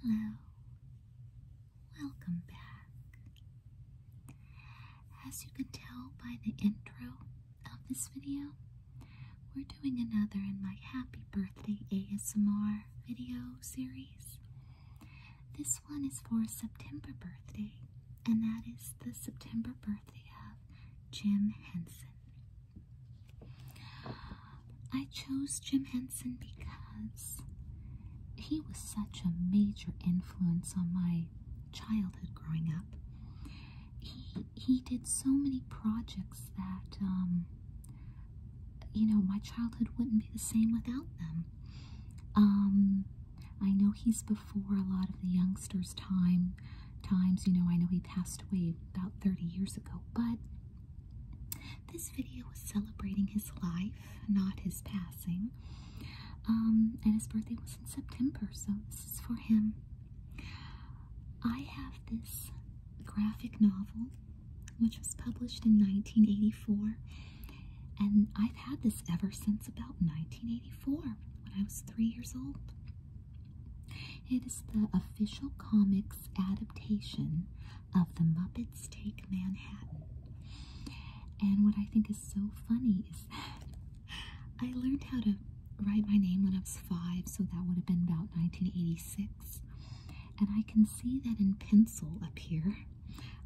Hello, welcome back. As you can tell by the intro of this video, we're doing another in my Happy Birthday ASMR video series. This one is for September birthday, and that is the September birthday of Jim Henson. I chose Jim Henson because he was such a major influence on my childhood growing up. He he did so many projects that um, you know my childhood wouldn't be the same without them. Um, I know he's before a lot of the youngsters' time times. You know, I know he passed away about 30 years ago, but this video was celebrating his life, not his passing. Um, and his birthday was in September, so this is for him. I have this graphic novel which was published in 1984, and I've had this ever since about 1984 when I was three years old. It is the official comics adaptation of The Muppets Take Manhattan. And what I think is so funny is I learned how to write my name when I was five, so that would have been about 1986. And I can see that in pencil up here.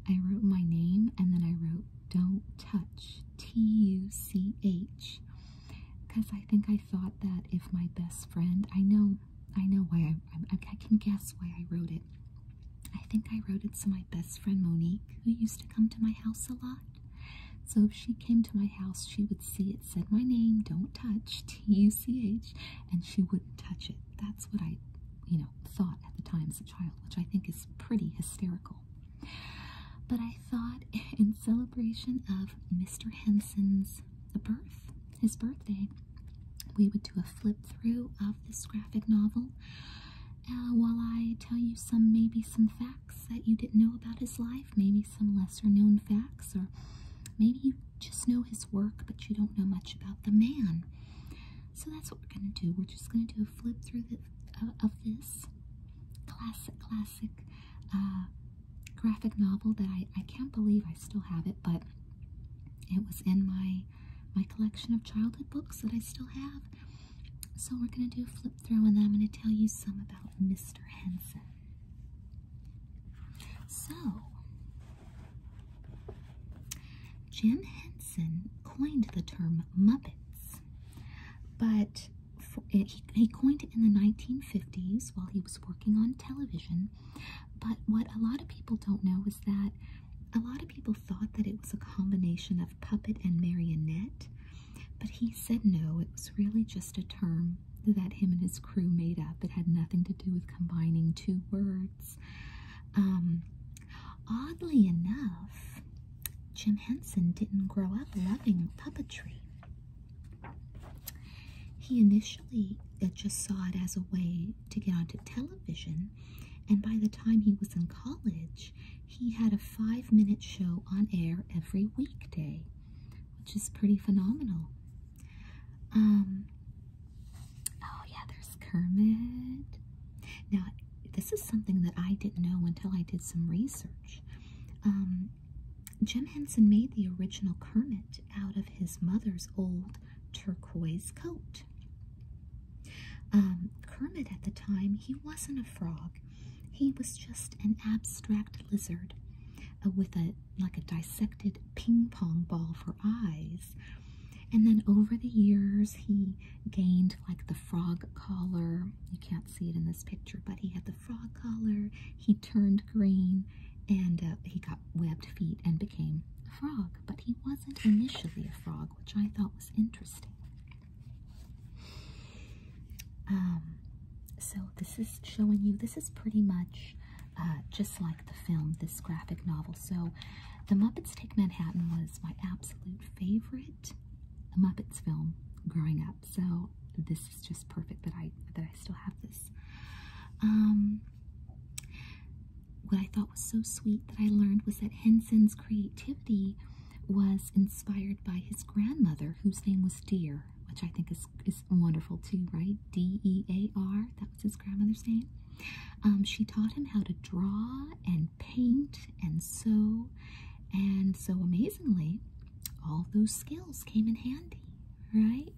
I wrote my name and then I wrote Don't Touch, T U C H, because I think I I thought that if my best friend, I know, I know why I, I, can guess why I wrote it. I think I wrote it to my best friend Monique, who used to come to my house a lot. So if she came to my house, she would see it said my name, don't touch, T-U-C-H, and she wouldn't touch it. That's what I, you know, thought at the time as a child, which I think is pretty hysterical. But I thought in celebration of Mr. Henson's birth, his birthday, we would do a flip through of this graphic novel uh, while I tell you some maybe some facts that you didn't know about his life, maybe some lesser known facts, or maybe you just know his work but you don't know much about the man. So that's what we're going to do. We're just going to do a flip through uh, of this classic, classic uh, graphic novel that I, I can't believe I still have it, but it was in my my collection of childhood books that I still have. So we're gonna do a flip through and then I'm gonna tell you some about Mr. Henson. So Jim Henson coined the term Muppets, but he, coined it in the 1950s while he was working on television. But what a lot of people don't know is that a lot of people thought that it was a combination of puppet and marionette, but he said no, it was really just a term that him and his crew made up. It had nothing to do with combining two words. Um, oddly enough, Jim Henson didn't grow up loving puppetry. He initially uh, just saw it as a way to get onto television, and by the time he was in college, he had a five minute show on air every weekday, which is pretty phenomenal. Um, oh, yeah, there's Kermit. Now, this is something that I didn't know until I did some research. Um, Jim Henson made the original Kermit out of his mother's old turquoise coat. Um, Kermit at the time, he wasn't a frog. He was just an abstract lizard uh, with a like a dissected ping pong ball for eyes. And then over the years, he gained like the frog collar. You can't see it in this picture, but he had the frog collar, he turned green, and uh, he got webbed feet and became a frog. But he wasn't initially a frog, which I thought was interesting. Um, so this is showing you, this is pretty much uh, just like the film, this graphic novel. So The Muppets Take Manhattan was my absolute favorite Muppets film growing up. So this is just perfect that I that I still have this. Um, what I thought was so sweet that I learned was that Henson's creativity was inspired by his grandmother, whose name was Dear, which I think is is wonderful too, right? D E A R. That was his grandmother's name. Um, she taught him how to draw and paint and sew, and so amazingly, all those skills came in handy, right?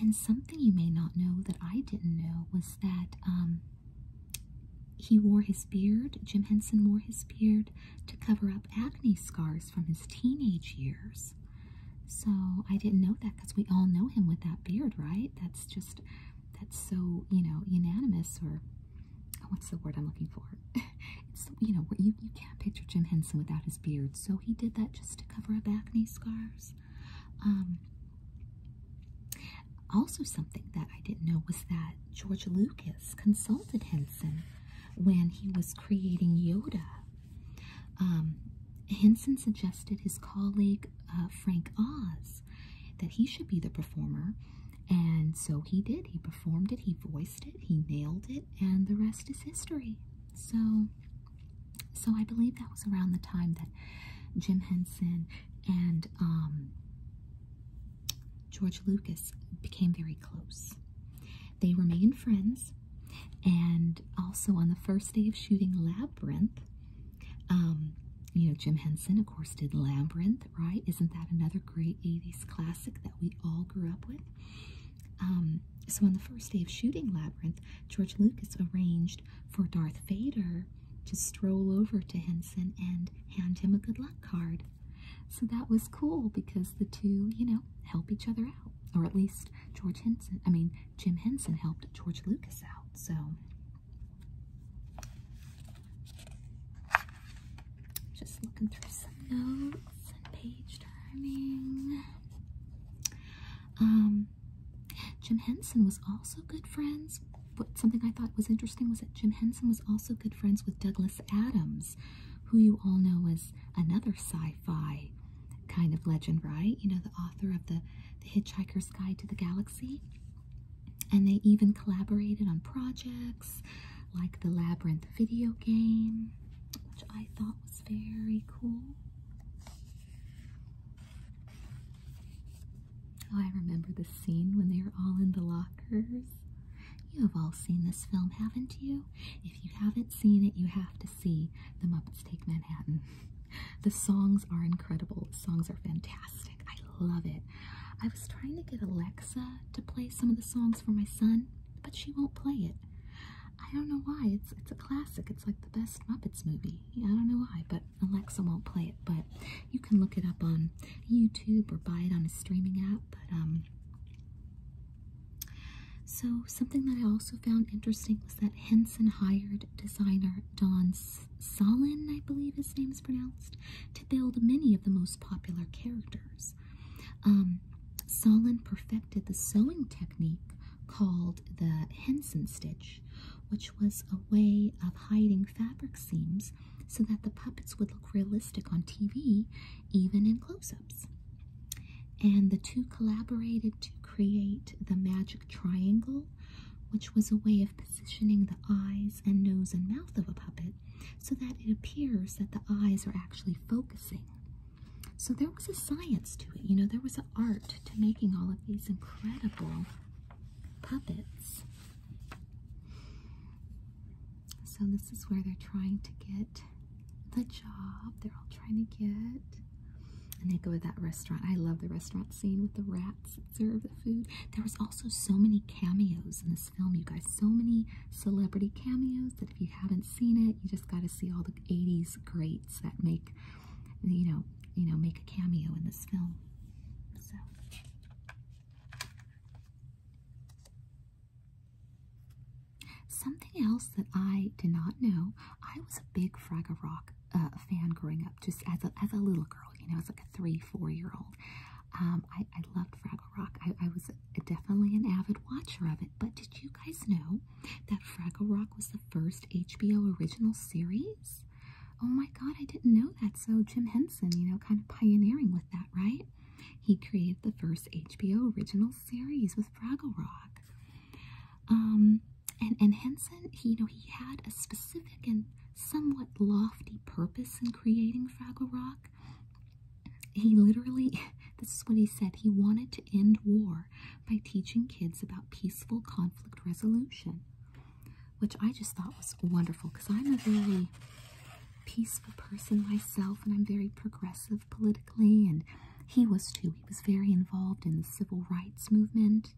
And something you may not know that I didn't know was that um, he wore his beard, Jim Henson wore his beard to cover up acne scars from his teenage years. So I didn't know that because we all know him with that beard, right? That's that's just that's so you know unanimous or what's the word i'm looking for you know you, you can't picture jim henson without his beard so he did that just to cover up acne scars um, also something that i didn't know was that george lucas consulted henson when he was creating yoda um, henson suggested his colleague uh, Frank Oz that he should be the performer, and so he did. He performed it, he voiced it, he nailed it, and the rest is history. So, so I believe that was around the time that Jim Henson and um, George Lucas became very close. They remained friends, and also on the first day of shooting Labyrinth, um, you know, Jim Henson, of course, did Labyrinth, right? Isn't that another great 80s classic that we all grew up with? Um, so, on the first day of shooting Labyrinth, George Lucas arranged for Darth Vader to stroll over to Henson and hand him a good luck card. So, that was cool because the two, you know, help each other out. Or at least George Henson, I mean, Jim Henson helped George Lucas out. So just looking through some notes and page turning. Um, Jim Henson was also good friends. But something I thought was interesting was that Jim Henson was also good friends with Douglas Adams, who you all know as another sci-fi kind of legend, right? You know, the author of the the Hitchhiker's Guide to the Galaxy. And they even collaborated on projects like the Labyrinth video game, which I thought was very cool. Oh, I remember the scene when they are all in the lockers. You have all seen this film, haven't you? If you haven't seen it, you have to see the Muppets Take Manhattan. The songs are incredible. songs are fantastic. I love it. I was trying to get Alexa to play some of the songs for my son, but she won't play it. I don't know why. It's it's a classic. It's like the best Muppets movie. I don't know why, but Alexa won't play it. But you can look it up on YouTube or buy it on a streaming app. But um, so, something that I also found interesting was that Henson hired designer Don Solin, I believe his name is pronounced, to build many of the most popular characters. Um, Solin perfected the sewing technique called the Henson stitch, which was a way of hiding fabric seams so that the puppets would look realistic on TV, even in close ups. And the two collaborated to create the magic triangle, which was a way of positioning the eyes and nose and mouth of a puppet so that it appears that the eyes are actually focusing. So there was a science to it, you know, there was an art to making all of these incredible puppets. So this is where they're trying to get the job, they're all trying to get and they go to that restaurant. I love the restaurant scene with the rats that serve the food. There was also so many cameos in this film, you guys. So many celebrity cameos that if you haven't seen it, you just got to see all the 80s greats that make, you know, you know, make a cameo in this film. So. Something else that I did not know, I was a big Fraggle Rock uh, fan growing up, just as a, little girl, you know, as like a three, four year old. Um, I, loved Fraggle Rock. I was definitely an avid watcher of it. But did you guys know that Fraggle Rock was the first HBO original series? Oh my god, I didn't know that. So Jim Henson, you know, kind of pioneering with that, right? He created the first HBO original series with Fraggle Rock. Um, and and Henson, you know, he had a specific and somewhat lofty purpose in creating Fraggle Rock. He literally, this is what he said, he wanted to end war by teaching kids about peaceful conflict resolution, which I just thought was wonderful because I'm a very peaceful person myself and I'm very progressive politically and he was too. He was very involved in the civil rights movement,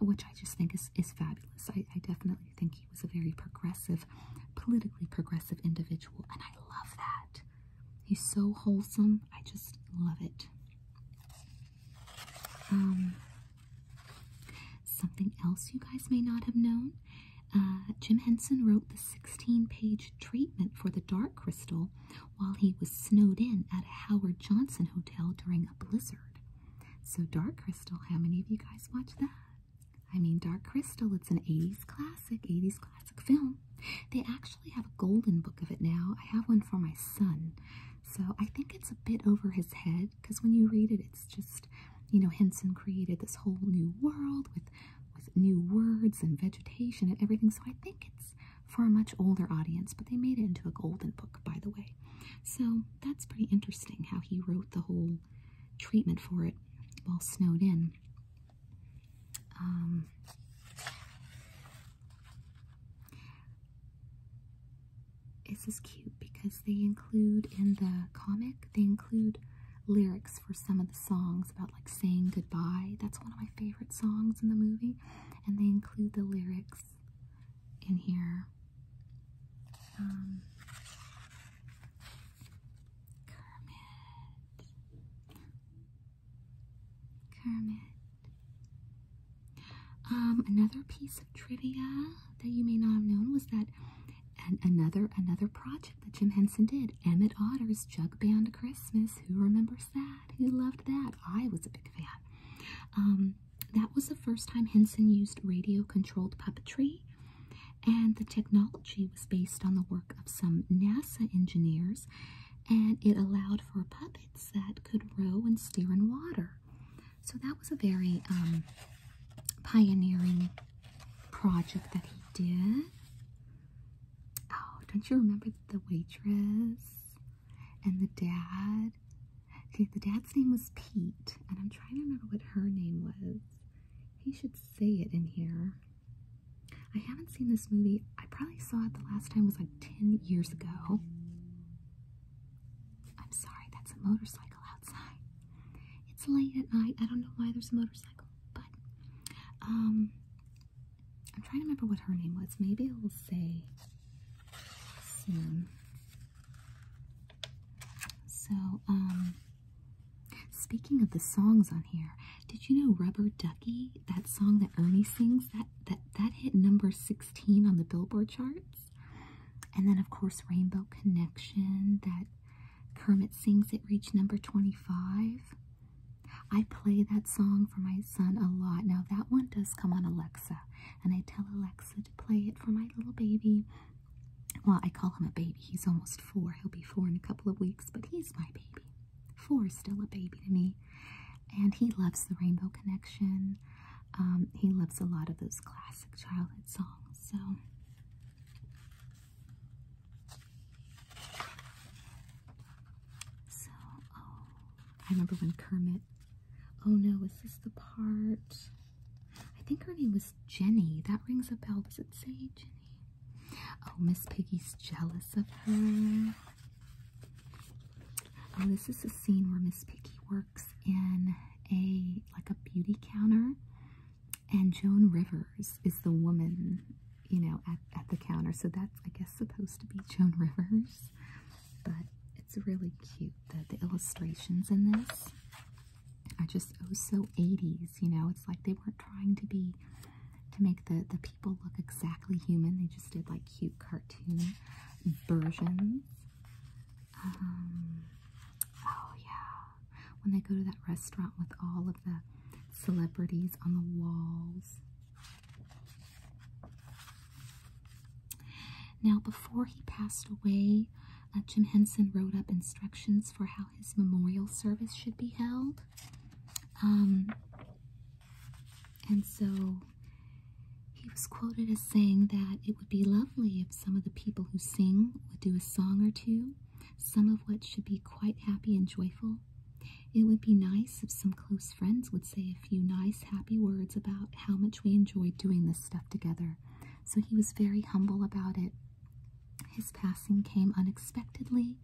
which I just think is, is fabulous. I, definitely think he was a very progressive, politically progressive individual, and I love that. He's so wholesome. I just love it. Um, something else you guys may not have known. Uh, Jim Henson wrote the 16 page treatment for the dark crystal, while he was snowed in at a Howard Johnson hotel during a blizzard. So, Dark Crystal, how many of you guys watch that? I mean, Dark Crystal, it's an 80s classic, 80s classic film. They actually have a golden book of it now. I have one for my son. So, I think it's a bit over his head because when you read it, it's just, you know, Henson created this whole new world with with new words and vegetation and everything. So I think it's for a much older audience, but they made it into a golden book, by the way. So that's pretty interesting how he wrote the whole treatment for it while snowed in. Um, this is cute because they include in the comic, they include lyrics for some of the songs about like saying goodbye. That's one of my favorite songs in the movie, and they include the lyrics in here. Um, um another piece of trivia that you may not have known was that. another another project that Jim Henson did. Emmet Otter's Jug Band Christmas. Who remembers that? Who loved that? I was a big fan. Um, that was the first time Henson used radio controlled puppetry, and the technology was based on the work of some NASA engineers, and it allowed for puppets that could row and steer in water. So that was a very um, pioneering project that he did. Oh, don't you remember the waitress and the dad? Okay, the dad's name was Pete, and I'm trying to remember what her name was. He should say it in here. I haven't seen this movie. I probably saw it the last time was like 10 years ago. I'm sorry, that's a motorcycle outside. It's late at night. I don't know why there's a motorcycle but um, I'm trying to remember what her name was. Maybe I will say soon. So, um, speaking of the songs on here, did you know Rubber Ducky, that song that Ernie sings, that that that hit number 16 on the Billboard charts? And then of course Rainbow Connection that Kermit sings it reached number 25. I play that song for my son a lot. Now, that one does come on Alexa, and I tell Alexa to play it for my little baby. Well, I call him a baby. He's almost four. He'll be four in a couple of weeks, but he's my baby. Four is still a baby to me. And he loves the Rainbow Connection. Um, he loves a lot of those classic childhood songs. So so, oh, I remember when Kermit. Oh no, is this the part? I think her name was Jenny. That rings a bell. Does it say Jenny? Oh, Miss Piggy's jealous of her. Oh, this is a scene where Miss Piggy works in a like a beauty counter and Joan Rivers is the woman, you know, at, at the counter. So that's, I guess, supposed to be Joan Rivers, but it's really cute. The, the illustrations in this are just oh so 80s, you know. It's like they weren't trying to be to make the the people look exactly human. They just did like cute cartoon versions. Um, oh yeah, when they go to that restaurant with all of the celebrities on the walls. Now, before he passed away, uh, Jim Henson wrote up instructions for how his memorial service should be held. Um, and so he was quoted as saying that it would be lovely if some of the people who sing would do a song or two, some of what should be quite happy and joyful. It would be nice if some close friends would say a few nice, happy words about how much we enjoyed doing this stuff together. So he was very humble about it. His passing came unexpectedly.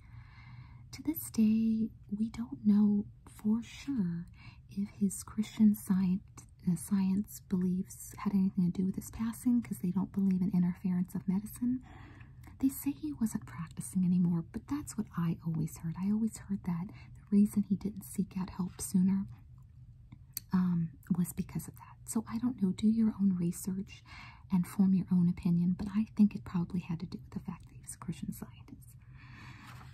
To this day, we don't know for sure if his Christian science uh, beliefs had anything to do with his passing because they don't believe in interference of medicine. They say he wasn't practicing anymore, but that's what I always heard. I always heard that the reason he didn't seek out help sooner um, was because of that. So I don't know. Do your own research and form your own opinion, but I think it probably had to do with the fact that he was a Christian scientist.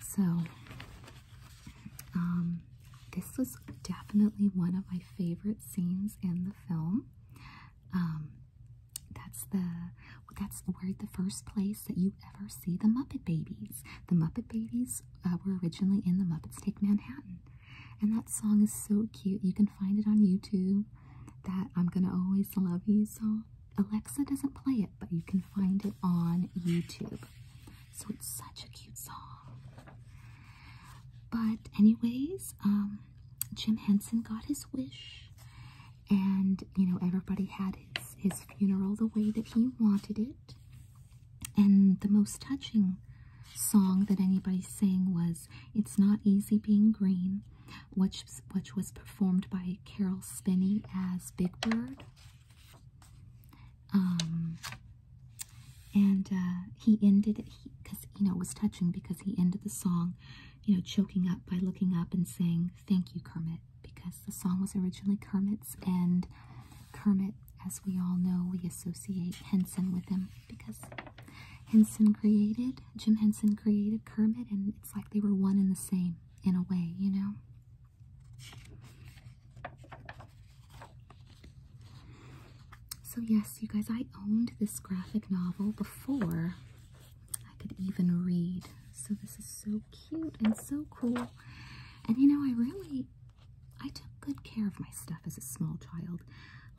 So um, this was definitely one of my favorite scenes in the film. Um, that's the that's where the first place that you ever see the Muppet Babies. The Muppet Babies uh, were originally in the Muppets Take Manhattan, and that song is so cute. You can find it on YouTube. That I'm gonna always love you song. Alexa doesn't play it, but you can find it on YouTube. So it's such a cute song. But anyways, um, Jim Henson got his wish, and you know everybody had his his funeral the way that he wanted it. And the most touching song that anybody sang was "It's Not Easy Being Green," which which was performed by Carol Spinney as Big Bird. Um, and uh, he ended it because you know it was touching because he ended the song you know choking up by looking up and saying thank you kermit because the song was originally kermit's and kermit as we all know we associate henson with him because henson created jim henson created kermit and it's like they were one and the same in a way you know so, yes, you guys, I owned this graphic novel before I could even read. So, this is so cute and so cool. And you know, I really I took good care of my stuff as a small child.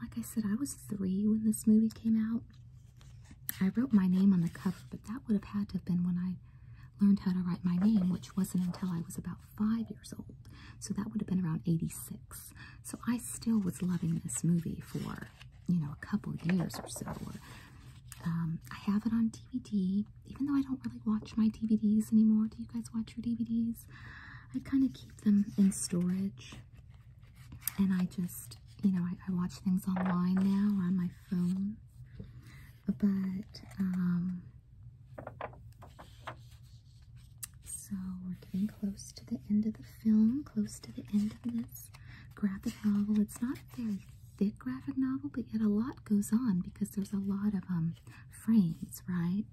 Like I said, I was three when this movie came out. I wrote my name on the cover, but that would have had to have been when I learned how to write my name, which wasn't until I was about five years old. So that would have been around 86. So I still was loving this movie for, you know, a couple years or so. Um, I have it on DVD, even though I don't really watch my DVDs anymore. Do you guys watch your DVDs? I kind of keep them in storage. And I just, you know, I, watch things online now on my phone. But, um, so we're getting close to the end of the film, close to the end of this graphic novel. It's not a very thick graphic novel, but yet a lot goes on because there's a lot of um frames, right?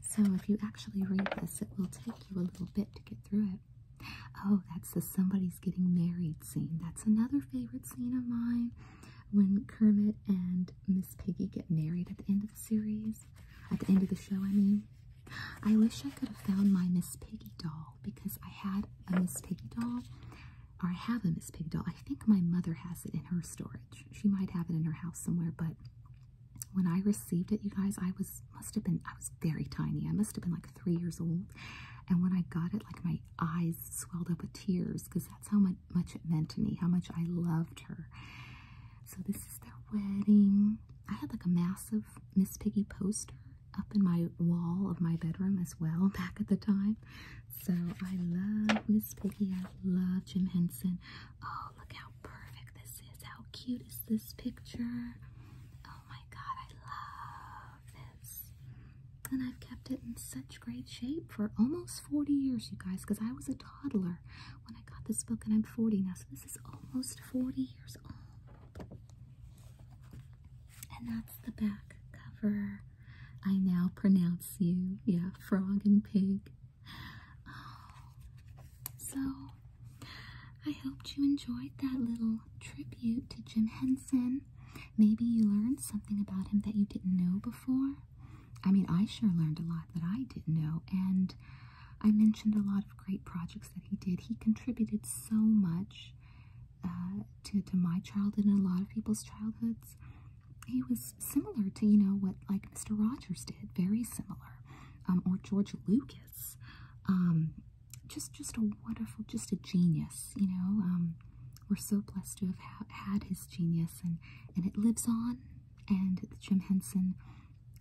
So if you actually read this, it will take you a little bit to get through it. Oh, that's the somebody's getting married scene. That's another favorite scene of mine when Kermit and Miss Piggy get married at the end of the series. At the end of the show, I mean. I wish I could have found my Miss Piggy doll because I had a Miss Piggy doll, or I have a Miss Piggy doll. I think my mother has it in her storage. She might have it in her house somewhere, but when I received it, you guys, I was must have been I was very tiny. I must have been like three years old, and when I got it, like my eyes swelled up with tears because that's how much much it meant to me, how much I loved her. So this is their wedding. I had like a massive Miss Piggy poster up in my wall of my bedroom as well back at the time. So I love Miss Piggy. I love Jim Henson. Oh, look how perfect this is. How cute is this picture? Oh my god, I love this. And I've kept it in such great shape for almost 40 years, you guys, because I was a toddler when I got this book, and I'm 40 now, so this is almost 40 years old. And that's the back cover. I now pronounce you, yeah, frog and pig. Oh, so, I hope you enjoyed that little tribute to Jim Henson. Maybe you learned something about him that you didn't know before. I mean, I sure learned a lot that I didn't know, and I mentioned a lot of great projects that he did. He contributed so much uh, to to my childhood and a lot of people's childhoods. He was similar to you know what like Mr. Rogers did, very similar, um, or George Lucas. Um, just just a wonderful, just a genius. You know, um, we're so blessed to have had his genius, and and it lives on and Jim Henson,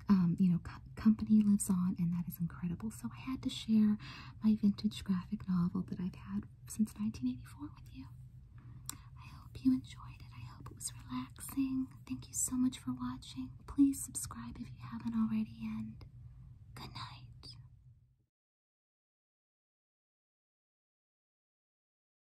um, you know, company lives on, and that is incredible. So I had to share my vintage graphic novel that I've had since 1984 with you. I hope you enjoyed it. I hope it was relaxing. Thank you so much for watching. Please subscribe if you haven't already, and good night.